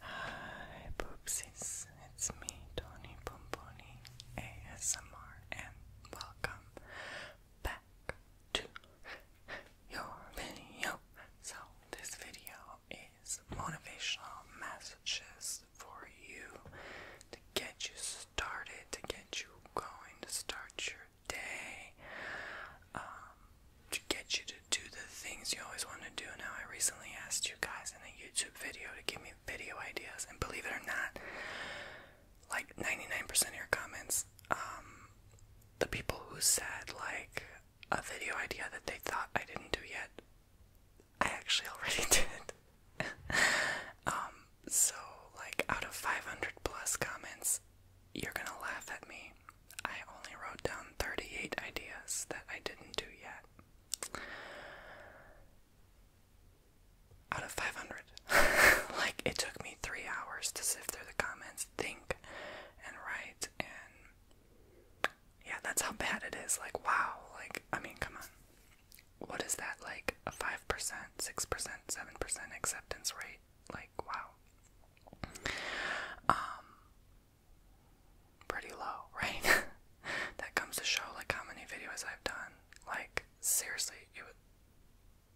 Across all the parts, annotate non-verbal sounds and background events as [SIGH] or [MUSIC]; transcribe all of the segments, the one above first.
Hi, poopsies. It's me, Tony Pomponi ASMR, and welcome back to your video. So, this video is motivational messages for you to get you started, to get you going, to start your day um, to get you to do the things you always want to do. Now, I recently asked you guys in a YouTube video to give me video ideas, and believe it or not, like 99% of your comments, um, the people who said, like, a video idea that they thought I didn't do yet, I actually already [LAUGHS] did. [LAUGHS] um, so like out of 500 plus comments, you're gonna laugh at me. I only wrote down 38 ideas that I didn't do yet. Out of 500. [LAUGHS] like, it took me three hours to sift through the comments, think, and write, and yeah, that's how bad it is. Like, wow. Like, I mean, come on. What is that? Like, a 5%, 6%, 7% acceptance rate? like wow. Um pretty low, [LAUGHS] right? that comes to show like how many videos I've done. Like seriously,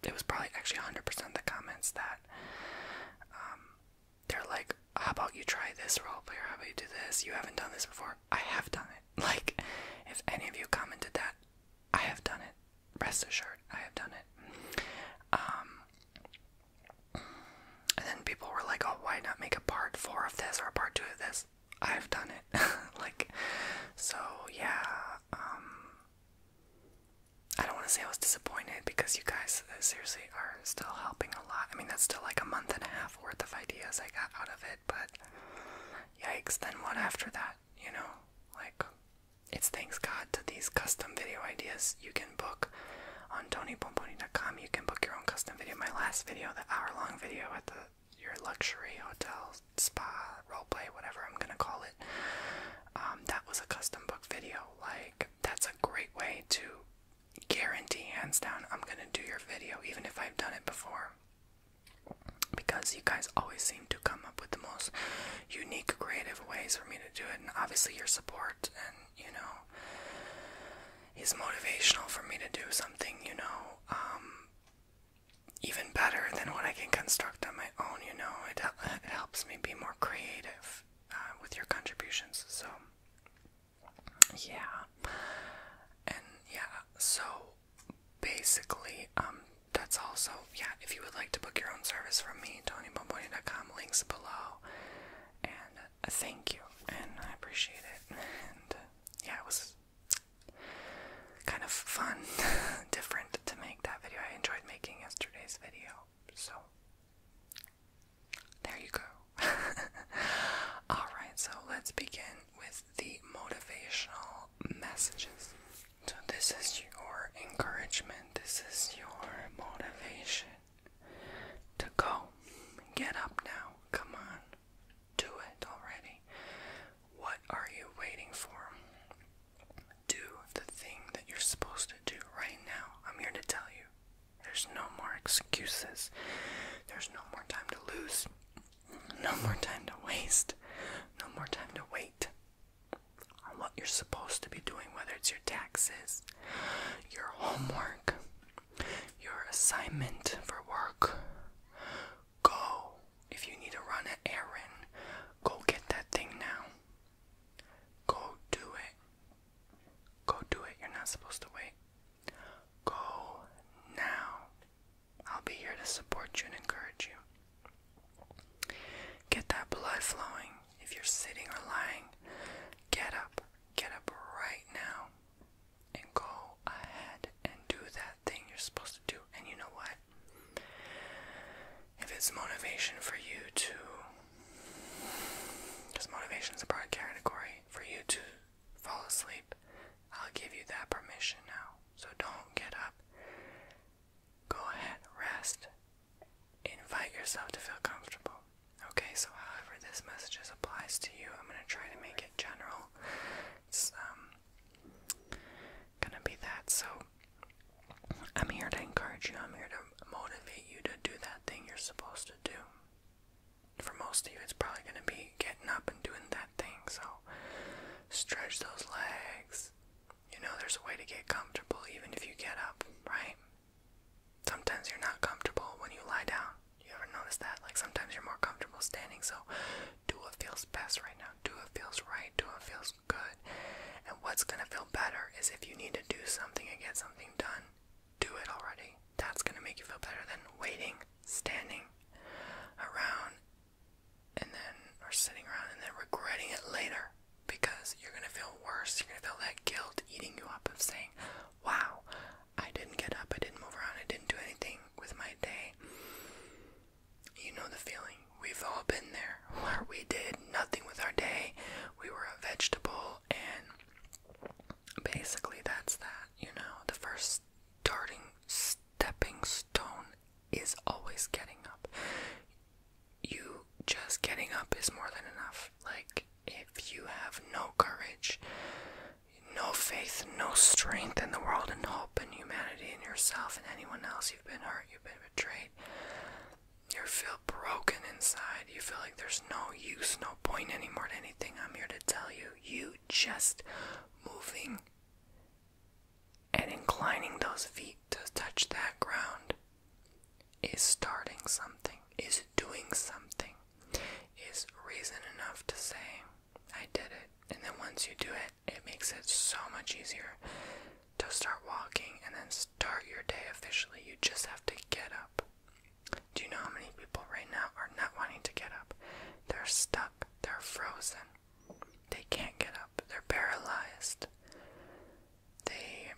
it was probably actually 100% the comments that um they're like how about you try this role player? How about you do this? You haven't done this before. I have done it. [LAUGHS] Like if any of you commented that, I have done it rest assured, I have done it. Um, and then people were like, "Oh, why not make a part four of this or a part two of this?" I've done it. [LAUGHS] like, so yeah. Um, I don't want to say I was disappointed because you guys uh, seriously are still helping a lot. I mean, that's still like a month and a half worth of ideas I got out of it, but yikes, then what after that? You know, like it's thanks God to these custom video ideas you can book on TonyPomponi.com. You can book your own custom video. My last video, the hour-long video at the your luxury hotel, spa, roleplay, whatever I'm gonna call it. Um, that was a custom book video. Like that's a great way to guarantee, hands down, I'm gonna do your video, even if I've done it before, because you guys always seem to come up with the most unique, creative ways for me to do it. And obviously, your support and you know, is motivational for me to do something, you know, um, even better than what I can construct on my own. You know, it, it helps me be more creative uh, with your contributions. So, yeah, and yeah, so basically, um, that's also, yeah, if you would like to book your own service from me, TonyBomboni.com, links below. And uh, thank you, and I appreciate it. And uh, yeah, it was kind of fun, [LAUGHS] different to make that video. I enjoyed making yesterday's video, so there you go. [LAUGHS] Alright, so let's begin with the motivational messages. So, this is your encouragement, this is your motivation to go. Get up now, come on, do it already. What are you waiting for? Do the thing that you're supposed to do right now. I'm here to tell you there's no more excuses, there's no more time to lose, no more time to waste, no more time to wait on what you're supposed to be doing, whether it's your taxes, your homework, your assignment for work. Go. If you need to run an errand, go get that thing now. Go do it. Go do it. You're not supposed to wait. Go now. I'll be here to support you and encourage you. Get that blood flowing. If you're sitting or lying, get up. Get up right now and go ahead and do that thing you're supposed to do. And you know what? If it's motivation for you to, because motivation is a broad category, for you to fall asleep, I'll give you that permission now. So don't get up. Go ahead, rest. Invite yourself to feel comfortable. Okay, so however this message applies to you, I'm gonna try to make it general. It's um gonna be that. So I'm here to encourage you, I'm here to motivate you to do that thing you're supposed to do. For most of you it's probably gonna be getting up and doing that thing, so stretch those legs, you know there's a way to get comfortable even if you get up, right? Sometimes you're not comfortable when you lie down. You ever notice that? Like sometimes you're more comfortable standing, so do what feels best right now. Do what feels right, do what feels good. And what's gonna feel better is if you need to do something and get something done, do it already. That's gonna make you feel better than waiting, standing around and then are sitting around and then regretting it later because you're gonna feel worse. You're gonna feel that guilt eating you up of saying, Wow, I didn't get up, I didn't move around, I didn't do anything with my day. You know the feeling. We've all been there where we did nothing with our day. We were a vegetable, and basically that's that. You know, the first starting stepping stone is always getting up you just getting up is more than enough. Like, if you have no courage, no faith, no strength in the world and hope and humanity in yourself and anyone else, you've been hurt, you've been betrayed, you feel broken inside, you feel like there's no use, no point anymore to anything. I'm here to tell you, you just moving and inclining those feet to touch that ground is starting something, is doing something, is reason enough to say, I did it. And then once you do it, it makes it so much easier to start walking and then start your day officially. You just have to get up. Do you know how many people right now are not wanting to get up? They're stuck, they're frozen, they can't get up, they're paralyzed they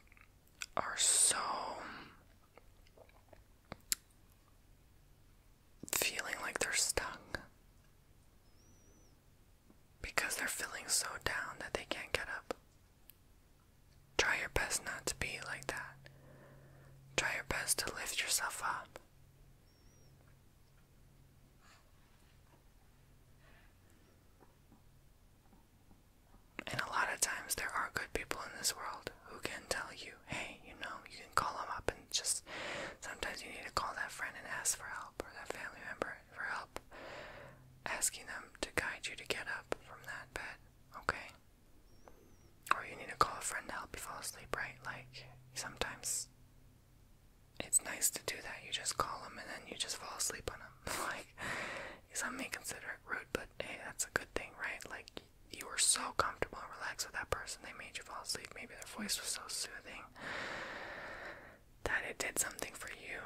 are so feeling like they're stuck because they're feeling so down that they can't get up. Try your best not to be like that. Try your best to lift yourself up. And a lot of times there are good people in this world who can tell you, hey, you know, you can call them up and just sometimes you need to call that friend and ask for help or that family member for help. Asking them to guide you to get up from that bed, okay? Or you need to call a friend to help you fall asleep, right? Like, sometimes it's nice to do that. You just call them and then you just fall asleep on them. [LAUGHS] like some may consider it rude, but hey, that's a good thing, right? Like you were so comfortable and relaxed with that person, they made you fall asleep. Maybe their voice was so soothing that it did something for you.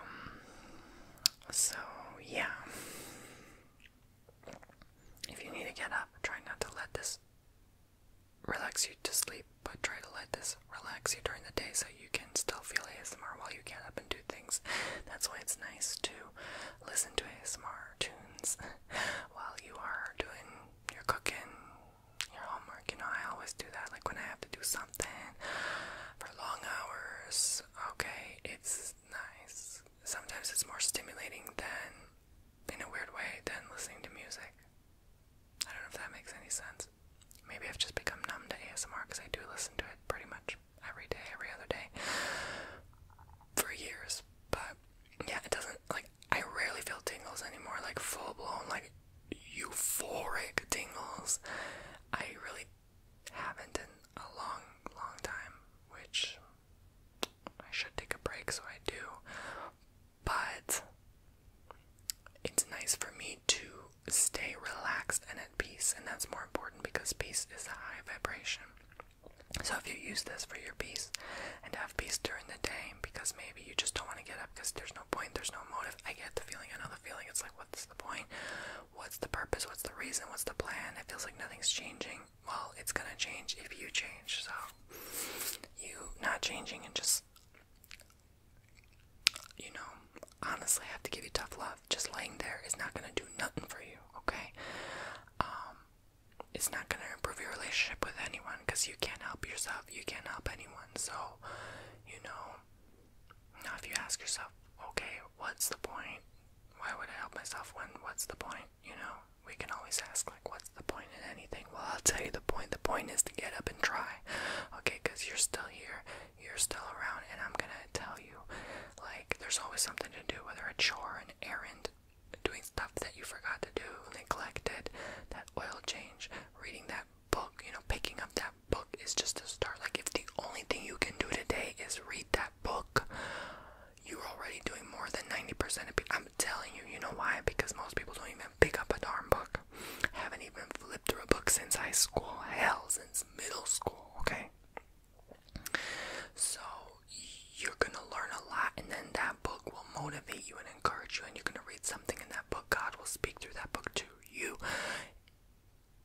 So yeah. If you need to get up, try not to let this relax you to sleep, but try to let this relax you during the day so you can still feel ASMR while you get up and do things. That's why it's nice to listen to ASMR tunes [LAUGHS] while you are doing your cooking, your homework. You know, I always do that. Like when I have to do something for long hours, okay, it's nice. Sometimes it's more stimulating than, in a weird way, than listening to music. I don't know if that makes any sense. Maybe I've just become numb to ASMR because I do listen to it pretty much every day, every other day for years. But yeah, it doesn't like I rarely feel tingles anymore, like full blown, like euphoric tingles. I really haven't in a long, long time, which I should take a break, so I do. But it's nice for me to stay relaxed and at peace, and that's more important because peace is a high vibration. So, if you use this for your peace and have peace during the day, because maybe you just don't want to get up because there's no point, there's no motive. I get the feeling, I know the feeling. It's like, what's the point? What's the purpose? What's the reason? What's the plan? It feels like nothing's changing. Well, it's gonna change if you change. So, you not changing and just you know, honestly, I have to give you tough love. Just laying there is not gonna do nothing for you, okay? Um, it's not gonna improve your relationship with anyone because you can't help yourself, you can't help anyone. So, you know, now if you ask yourself, okay, what's the point? Why would I help myself when what's the point? You know, we can always ask, like, what's the point in anything? Well, I'll tell you the point. The point is to get up and try, okay? Because you're still here, you're still around and I'm gonna tell you. Like, there's always something to do, whether a chore, an errand, doing stuff that you forgot to do, neglected, that oil change, reading that book, you know, picking up that book is just to start. Like, if the only thing you can do today is read that book, you're already doing more than 90% of people. I'm telling you, you know why? Because most people don't even pick up a darn book. I haven't even flipped through a book since high school. Hell, since middle school, okay? So you're gonna learn a lot, and then that book will motivate you and encourage you, and you're gonna read something in that book. God will speak through that book to you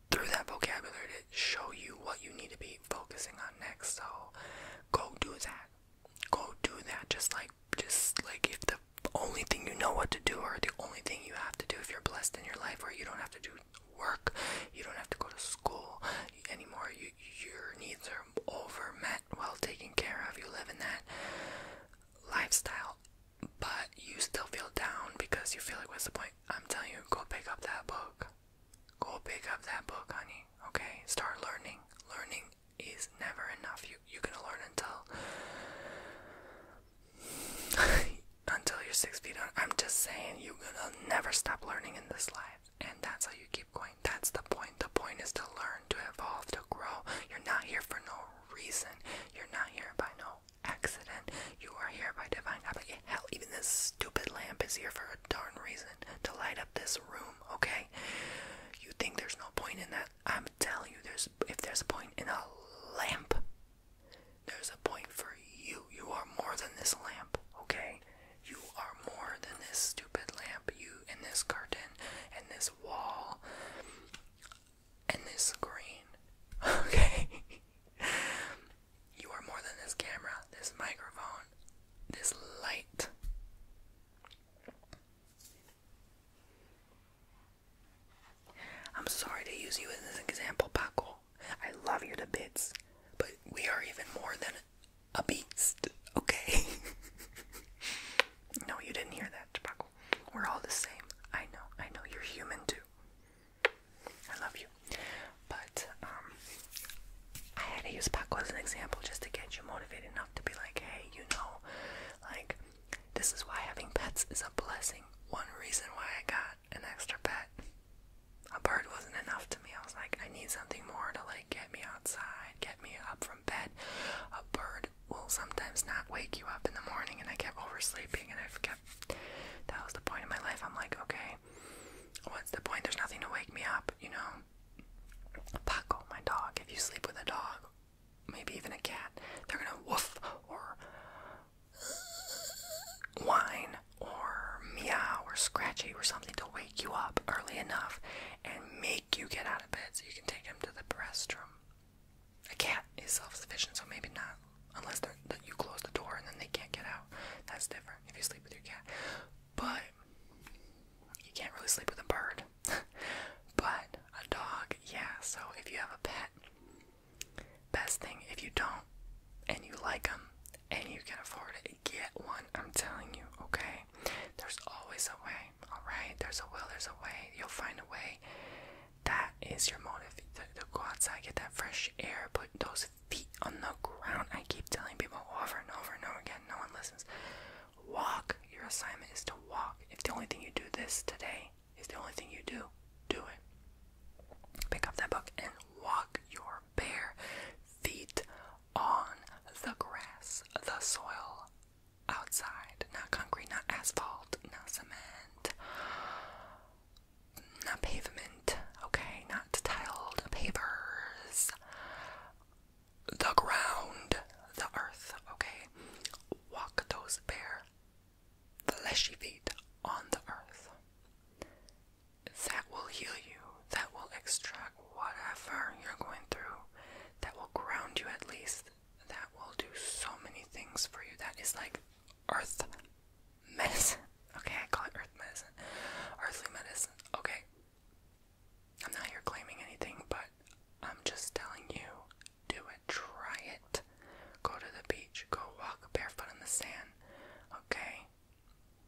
through that vocabulary to show you what you need to be focusing on next. So go do that. Go do that. Just like just like if the only thing you know what to do or the only thing you have to do if you're blessed in your life where you don't have to do work. You don't have to go to school anymore. You, your needs are over met, well taken care of. You live in that lifestyle, but you still feel down because you feel like, what's the point? I'm telling you, go pick up that book. Go pick up that book, honey. Okay, start learning. Learning is never enough. You you're learn until [LAUGHS] until you're six feet under. I'm just saying, you're gonna never stop learning in this life. And that's how you keep going. That's the point. The point is to learn, to evolve, to grow. You're not here for no reason. You're not here by no accident. You are here by divine application. Hell, even this stupid lamp is here for a darn reason to light up this room, okay? You think there's no point in that? I'm telling you, there's if there's a point in a lamp, there's a point for you. You are more than this lamp, okay? You are more than this stupid lamp, you and this curtain and this wall and this screen, [LAUGHS] okay? you are more than this camera, this microphone, this light. I'm sorry to use you as an example, Paco. I love you to bits, but we are even more than a beast, okay? [LAUGHS] no, you didn't hear that, Tobacco. We're all the same. I know, I know, you're human too. I love you. But, um, I had to use Paco as an example just to get you motivated enough to be like, hey, you know, like, this is why having pets is a blessing. One reason why I got an extra pet. A bird wasn't enough to me. I was like, I need something more to like get me outside, get me up from bed. A bird will sometimes not wake you up in the morning, and I kept oversleeping, and I've kept. That was the point of my life. I'm like, okay, what's the point? There's nothing to wake me up, you know. Paco, my dog. If you sleep with a dog, maybe even a cat, they're gonna woof or whine or meow or scratchy or something to wake you up early enough and make you get out of bed so you can take him to the restroom. A cat is self-sufficient, so maybe not, unless you close the door and then they can't get out. That's different if you sleep with your cat. But you can't really sleep with a bird. [LAUGHS] but a dog, yeah. So if you have a pet, Best thing, if you don't and you like them and you can afford it, get one. I'm telling you, okay? There's always a way, alright? There's a will, there's a way. You'll find a way. That is your motive to, to go outside, get that fresh air, put those feet on the ground. I keep telling people over and over and over again, no one listens. Walk. Your assignment is to walk. If the only thing you do this today is the only thing you do. Do it. Pick up that book and walk your bare feet on the grass, the soil, outside. Not concrete, not asphalt, not cement, not pavement, okay? Not tiled pavers. The ground, the earth, okay? Walk those bare fleshy feet on the earth. That will heal you, that will extract whatever you're going through, that will ground you at least, that will do so many things for you. That is like earth medicine. [LAUGHS] Okay, I call it earth medicine. Earthly medicine. Okay. I'm not here claiming anything, but I'm just telling you do it. Try it. Go to the beach. Go walk barefoot in the sand. Okay?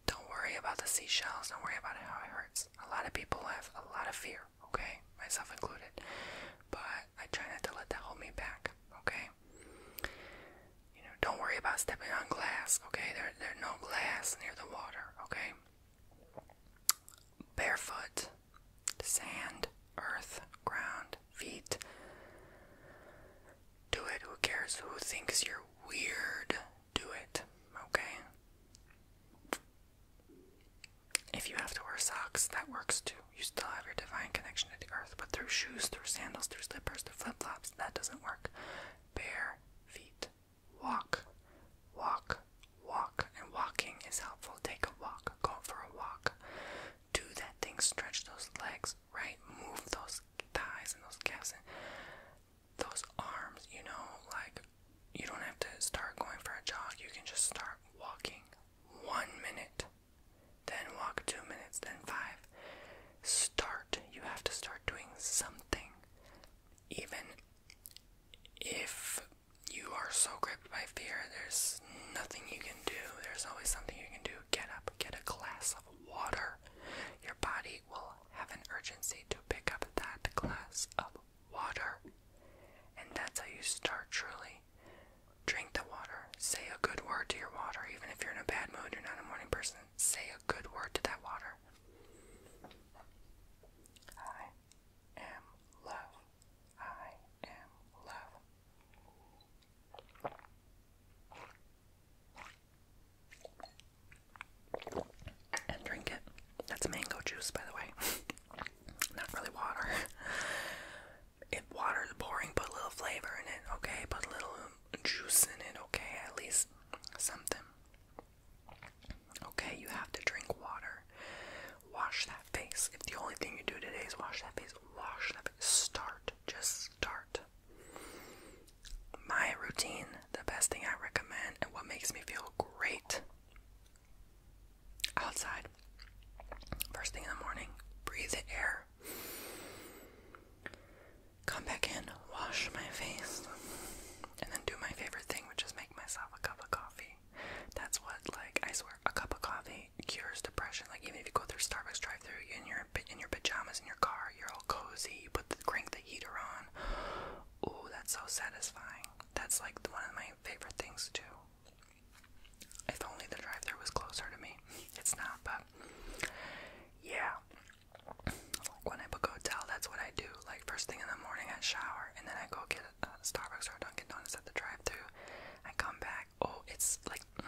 Don't worry about the seashells. Don't worry about how it hurts. A lot of people have a lot of fear. Okay? Myself included. But I try not to let that hold me back. Okay? You know, don't worry about stepping on glass. Okay? There, there's no glass near the water. Okay? Barefoot, sand, earth, ground, feet. Do it. Who cares? Who thinks you're weird? Do it. Okay? If you have to wear socks, that works too. You still have your divine connection to the earth, but through shoes, through sandals, through slippers, through flip flops, that doesn't work. Bare feet. Walk. Walk. Walk. And walking is helpful. Take a walk. Go for a walk do that thing, stretch those legs, right? Move those thighs and those calves and those arms, you know, like you don't have to start going for a jog, you can just start walking one minute, then walk two minutes, then five. Start, you have to start doing something, even if you are so gripped by fear, there's nothing you can do, there's always something you can do get up, get a glass of water. Your body will have an urgency to pick up that glass of water. And that's how you start truly. Drink the water. Say a good word to your water. Even if you're in a bad mood, you're not a morning person, say a good word to that water. I am love. I am love and drink it. That's mango juice, by the way. [LAUGHS] Not really water. [LAUGHS] If water's boring, put a little flavor in it, okay? Put a little juice in it, okay? At least something. Okay, you have to drink water. Wash that face. If the only thing you do today is wash that face, wash that Start. Just start. My routine, the best thing I recommend, and what makes me feel great outside. First thing in the morning, breathe the air. Come back in, wash my face, and then do my favorite thing, which is make myself a cup of coffee. That's what, like, I swear, a cup of coffee cures depression. Like, even if you go through Starbucks drive-through and your your in your pajamas in your car. You're all cozy. You put the crank the heater on. Ooh, that's so satisfying. That's like one of my favorite things too. If only the drive through was closer to me. It's not, but yeah. Like when I book a hotel, that's what I do. Like first thing in the morning, I shower, and then I go get a Starbucks or a Dunkin' Donuts at the drive through I come back oh it's like mm,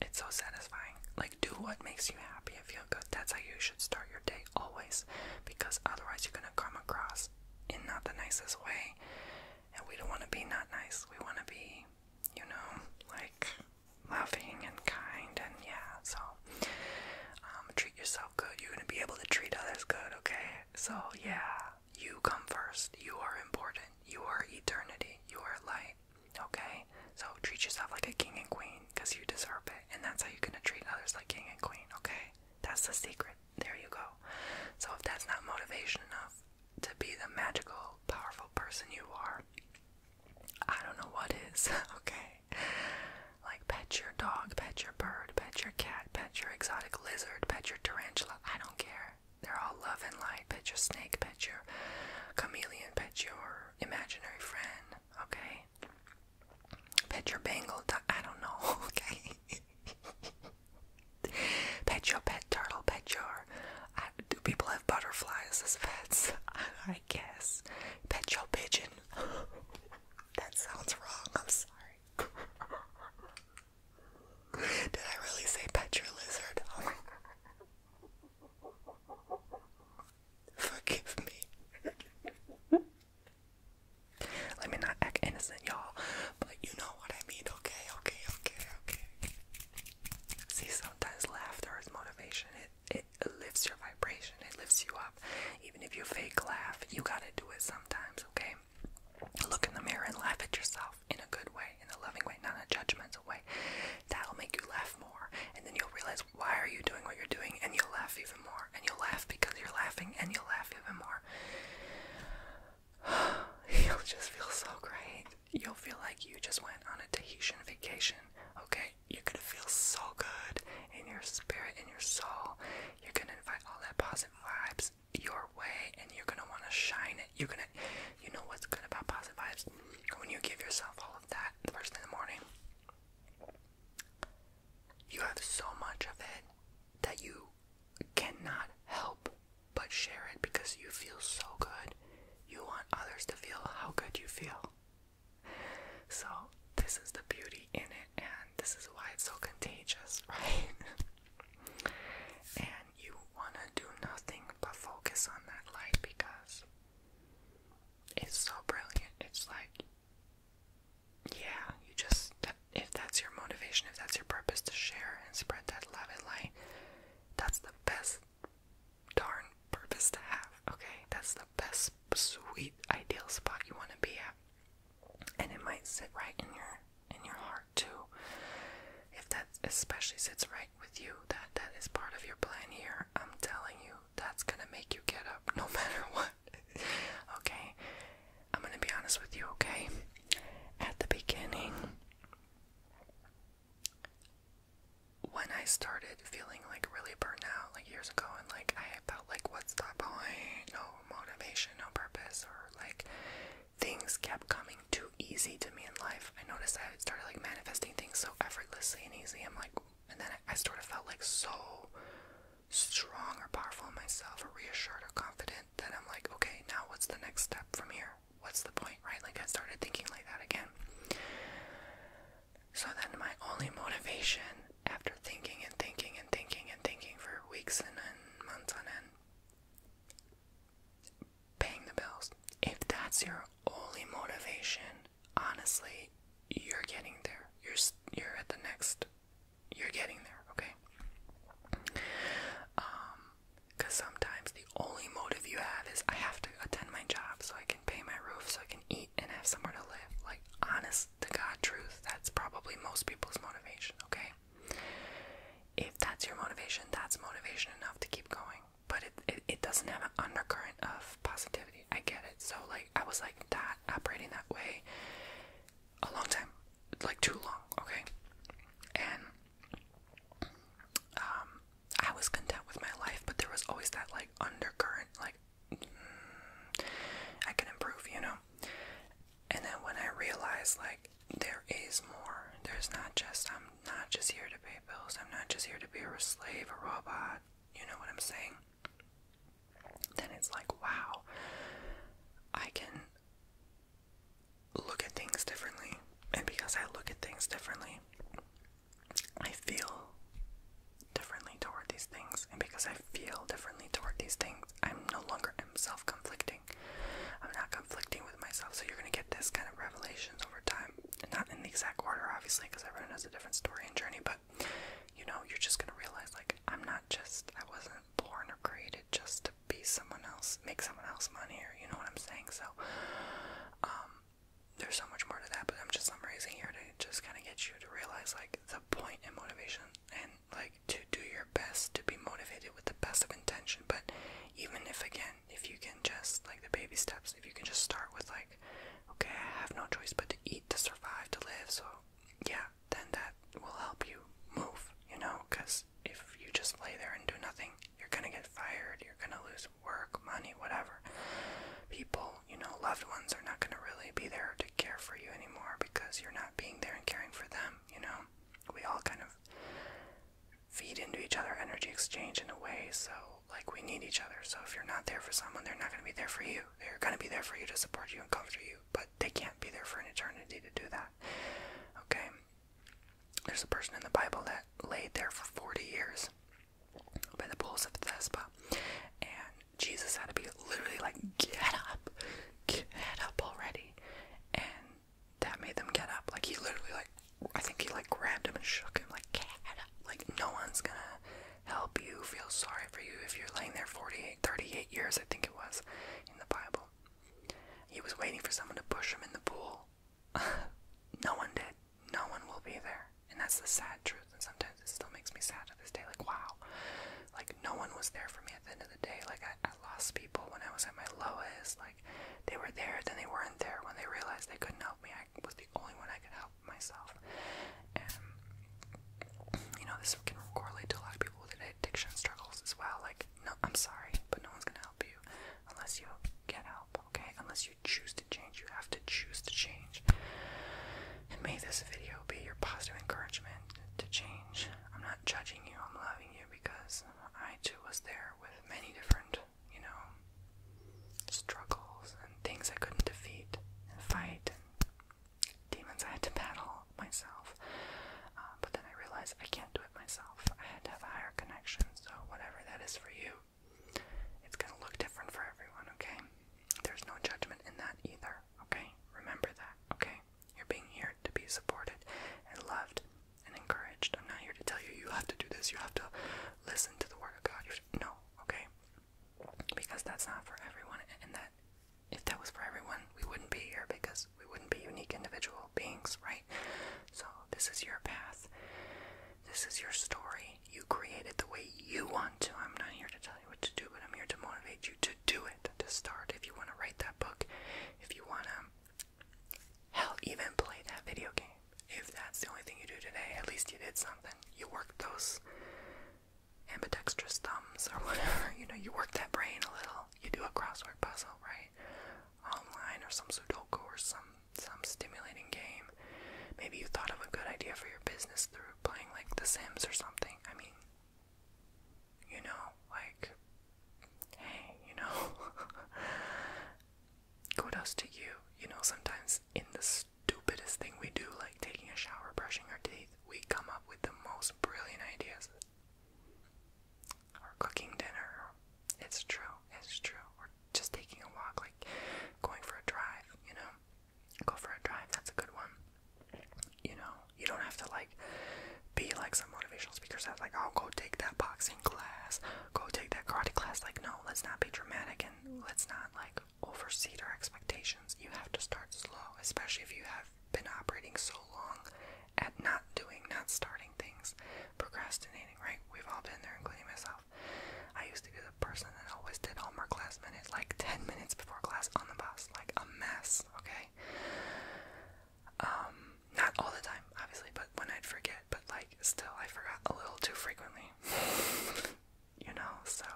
it's so satisfying like do what makes you happy and feel good that's how you should start your day always because otherwise you're gonna come across in not the nicest way and we don't want to be not nice we want to be you know like loving and kind and yeah so um, treat yourself good you're gonna be able to treat others good okay so yeah you come first you are important you are eternity you are light Okay? So treat yourself like a king and queen because you deserve it. And that's how you're going to treat others like king and queen. Okay? That's the secret. There you go. So if that's not motivation enough to be the magical, powerful person you are, I don't know what is. [LAUGHS] Okay? Like pet your dog, pet your bird, pet your cat, pet your exotic lizard, pet your tarantula. I don't care. They're all love and light. Pet your snake, pet your chameleon, pet your your imaginary friend, okay? Pet your bangle, I don't know, [LAUGHS] okay? pet your pet turtle, pet your. do people have butterflies as pets? [LAUGHS] I, guess. Pet your pigeon. [LAUGHS] that sounds wrong, I'm sorry. Did I really say pet your lizard? Forgive me. Let me not act innocent, y'all, but you know what I mean, okay, okay, okay, okay. See, sometimes laughter is motivation. It it lifts your vibration, it lifts you up. Even if you fake laugh, you gotta do it sometimes, okay? Look in the mirror and laugh at yourself in a good way, in a loving way, not a judgmental way. That'll make you laugh more. And then you'll realize why are you doing what you're doing and you'll laugh even more. And you'll laugh because you're laughing and you'll laugh even more. [SIGHS] you'll just feel so great. You'll feel like you just went on a Tahitian vacation. Okay, you're gonna feel so good in your spirit, and your soul. You're gonna invite all that positive vibes your way, and you're gonna wanna shine it. You're gonna, you know what's good about positive vibes? When you give yourself all all of that first thing in the morning, you have so much of it that you cannot help but share it because you feel so good. You want others to feel how good you feel. So, this is the beauty in it, and this is why it's so contagious, [LAUGHS] right? and you want to do nothing but focus on that light because it's so brilliant. It's like, yeah, you just, if that's your motivation, if that's your purpose to share and spread that love and light, that's the best darn purpose to have, okay? That's the best, sweet, ideal spot you want to be at. And it might sit right in your in your heart too. If that especially sits right with you that that is part of your plan here i'm telling you that's gonna make you get up no [LAUGHS] matter what okay i'm gonna be honest with you okay at the beginning when i started feeling like really burnt out like years ago and like i felt like what's the point no motivation no purpose or like things kept coming too easy to me in life i noticed i started like manifesting so effortlessly and easy. I'm like, and then I, sort of felt like so strong or powerful in myself, or reassured or confident that I'm like, okay, now what's the next step from here? What's the point, right? Like I started thinking like that again. So then my only motivation after thinking and thinking and thinking and thinking for weeks and, and months on end paying the bills. If that's your only motivation honestly, you're getting there. You're you're at the next. You're getting there, okay? Um, cause sometimes the only motive you have is I have to attend my job so I can pay my roof, so I can eat and have somewhere to live. Like honest to God, truth. That's probably most people's motivation, okay? If that's your motivation, that's motivation enough to keep going but it, it, doesn't have an undercurrent of positivity. I get it. So, like, I was like that, operating that way a long time, like too long, okay? And um, I was content with my life, but there was always that, like, undercurrent, like, mm, I can improve, you know? And then when I realized, like, there is more, there's not just, I'm not just here to be I'm not just here to be a slave, a robot. You know what I'm saying? Then it's like, wow, I can look at things differently. And because I look at things differently, I feel differently toward these things. And because I feel differently toward these things, I'm no longer am self conflicting. I'm not conflicting with myself. So you're going to get this kind of revelations over time not in the exact order, obviously, because everyone has a different story and journey, but you know, you're just gonna realize, like, I'm not just, I wasn't born or created just to be someone else, make someone else money, or you know what I'm saying? So, um, there's so much more to that, but I'm just summarizing here to just kind of get you to realize, like, the point in motivation and, like, to do your best to be motivated with the best of intention, but even if, again, if you can just like the baby steps, if you can just start with like, okay, I have no choice but to eat to survive to live. So yeah, then that will help you move. You know, because if you just lay there and do nothing, you're gonna get fired. You're gonna lose work, money, whatever. People, you know, loved ones are not gonna really be there to care for you anymore because you're not being there and caring for them. You know, we all kind of feed into each other energy exchange in a way so like we need each other. So if you're not there for someone, they're not going to be there for you. They're going to be there for you to support you and comfort you, but they can't be there for an eternity to do that. Okay? There's a person in the Bible that laid there for 40 years by the pools of Thespa, and Jesus had to be literally like, Get up! Get up already! And that made them get up. Like, he literally, like, I think he like grabbed him and shook him like cat. Like no one's gonna help you. Feel sorry for you if you're laying there 48, 38 years. I think it was in the Bible. He was waiting for someone to push him in the pool. [LAUGHS] no one did. No one will be there, and that's the sad truth. And sometimes it still makes me sad to this day. Like wow, like no one was there for me at the end of the day. Like I, I lost people when I was at my lowest. Like they were there, then they weren't there when they realized they couldn't help me. I was the only one I could help myself. And you know, this can correlate to a lot of people with addiction struggles as well. Like, no, I'm sorry, but no one's gonna help you unless you get help, okay? Unless you choose to change, you have to choose to change. And may this video be your positive encouragement to change. I'm not judging you, I'm loving you because I too was there with many different you know, struggles and things I couldn't defeat and fight demons I had to battle myself. Uh, but then I realized I can't do it myself. I had to have a higher connection, so whatever that is for you, it's gonna look different for everyone, okay? There's no judgment in that either, okay? Remember that, okay? You're being here to be supported and loved and encouraged. I'm not here to tell you you have to do this, you have to listen to the word of God. You should, no, okay? because that's not for everyone, and that if that was for everyone, we wouldn't be here because we wouldn't be unique individual beings, right? So, this is your path, this is your story. You created the way you want to. I'm not here to tell you what to do, but I'm here to motivate you to do it, to start. If you want to write that book, if you want to, hell, even play that video game, if that's the only thing you do today, at least you did something. You worked those ambidextrous thumbs or [LAUGHS] whatever. You know, you work that brain a little. You do a crossword puzzle, right? Online or some Sudoku or some some stimulating game. Maybe you thought of a good idea for your business through playing like The Sims or something. I mean, you know, like, hey, you know, [LAUGHS] kudos to you. You know, sometimes in the stupidest thing we do, like taking a shower, brushing our teeth, we come up with the most brilliant ideas. Or cooking dinner. It's true, it's true. Or just taking a walk, like going for a drive, you know? Go for a drive, that's a good one. You know, you don't have to like be like some motivational speakers that's like, I'll oh, go take that boxing class, go take that karate class. Like, no, let's not be dramatic and let's not like overseed our expectations. You have to start slow, especially if you have been operating so long at not doing, not starting things, procrastinating, right? We've all been there, including myself. I used to be the person that always did homework last minute, like 10 minutes before class on the bus, like a mess, okay? Um, not all the time, obviously, but when I'd forget, but like still, I forgot a little too frequently. [LAUGHS] you know? So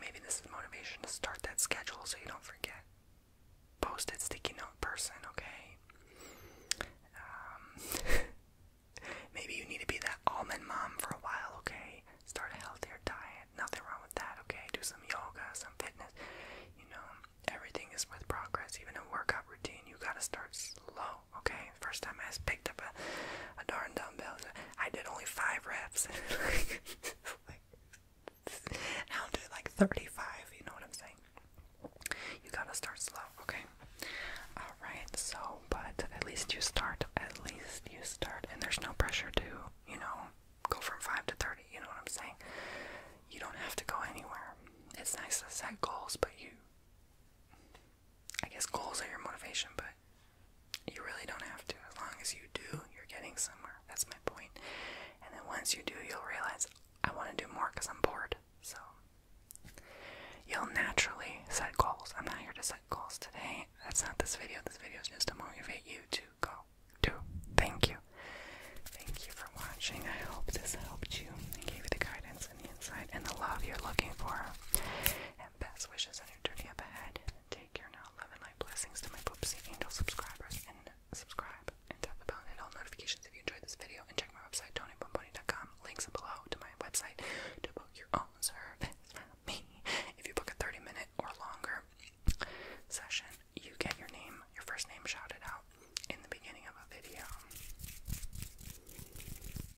maybe this is motivation to start that schedule so you don't forget. Posted sticky note person, okay? Um, [LAUGHS] maybe you need to be that almond mom for a while, okay? Start a healthier diet. Nothing wrong with that, okay? Do some yoga, some fitness. You know, everything is with progress. Even a workout routine, you gotta start slow, okay? First time I was a, darn dumbbell. I did only five reps. [LAUGHS] I'll do like 35, you know what I'm saying? You gotta start slow, okay? Alright, so, but at least you start, at least you start, and there's no pressure to, you know, go from 5 to 30, you know what I'm saying? You don't have to go anywhere. It's nice to set goals, but you I guess goals are your motivation, but you really don't have to. As long as you do, you're getting somewhere. That's my point. And then once you do, you'll realize I want to do more because I'm bored. So you'll naturally set goals. I'm not here to set goals today. That's not this video. This video is just to motivate you to go do. Thank you. Thank you for watching. I hope this helped you and gave you the guidance and the insight and the love you're looking for and best wishes on your journey up ahead. Take care now, love and blessings to my Poopsie Angel subscribers, and subscribe, and tap the bell and all notifications if you enjoyed this video, and check my website, tonybomboni.com, links below to my website to book your own service from me. If you book a 30-minute or longer session, you get your name, your first name shouted out in the beginning of a video.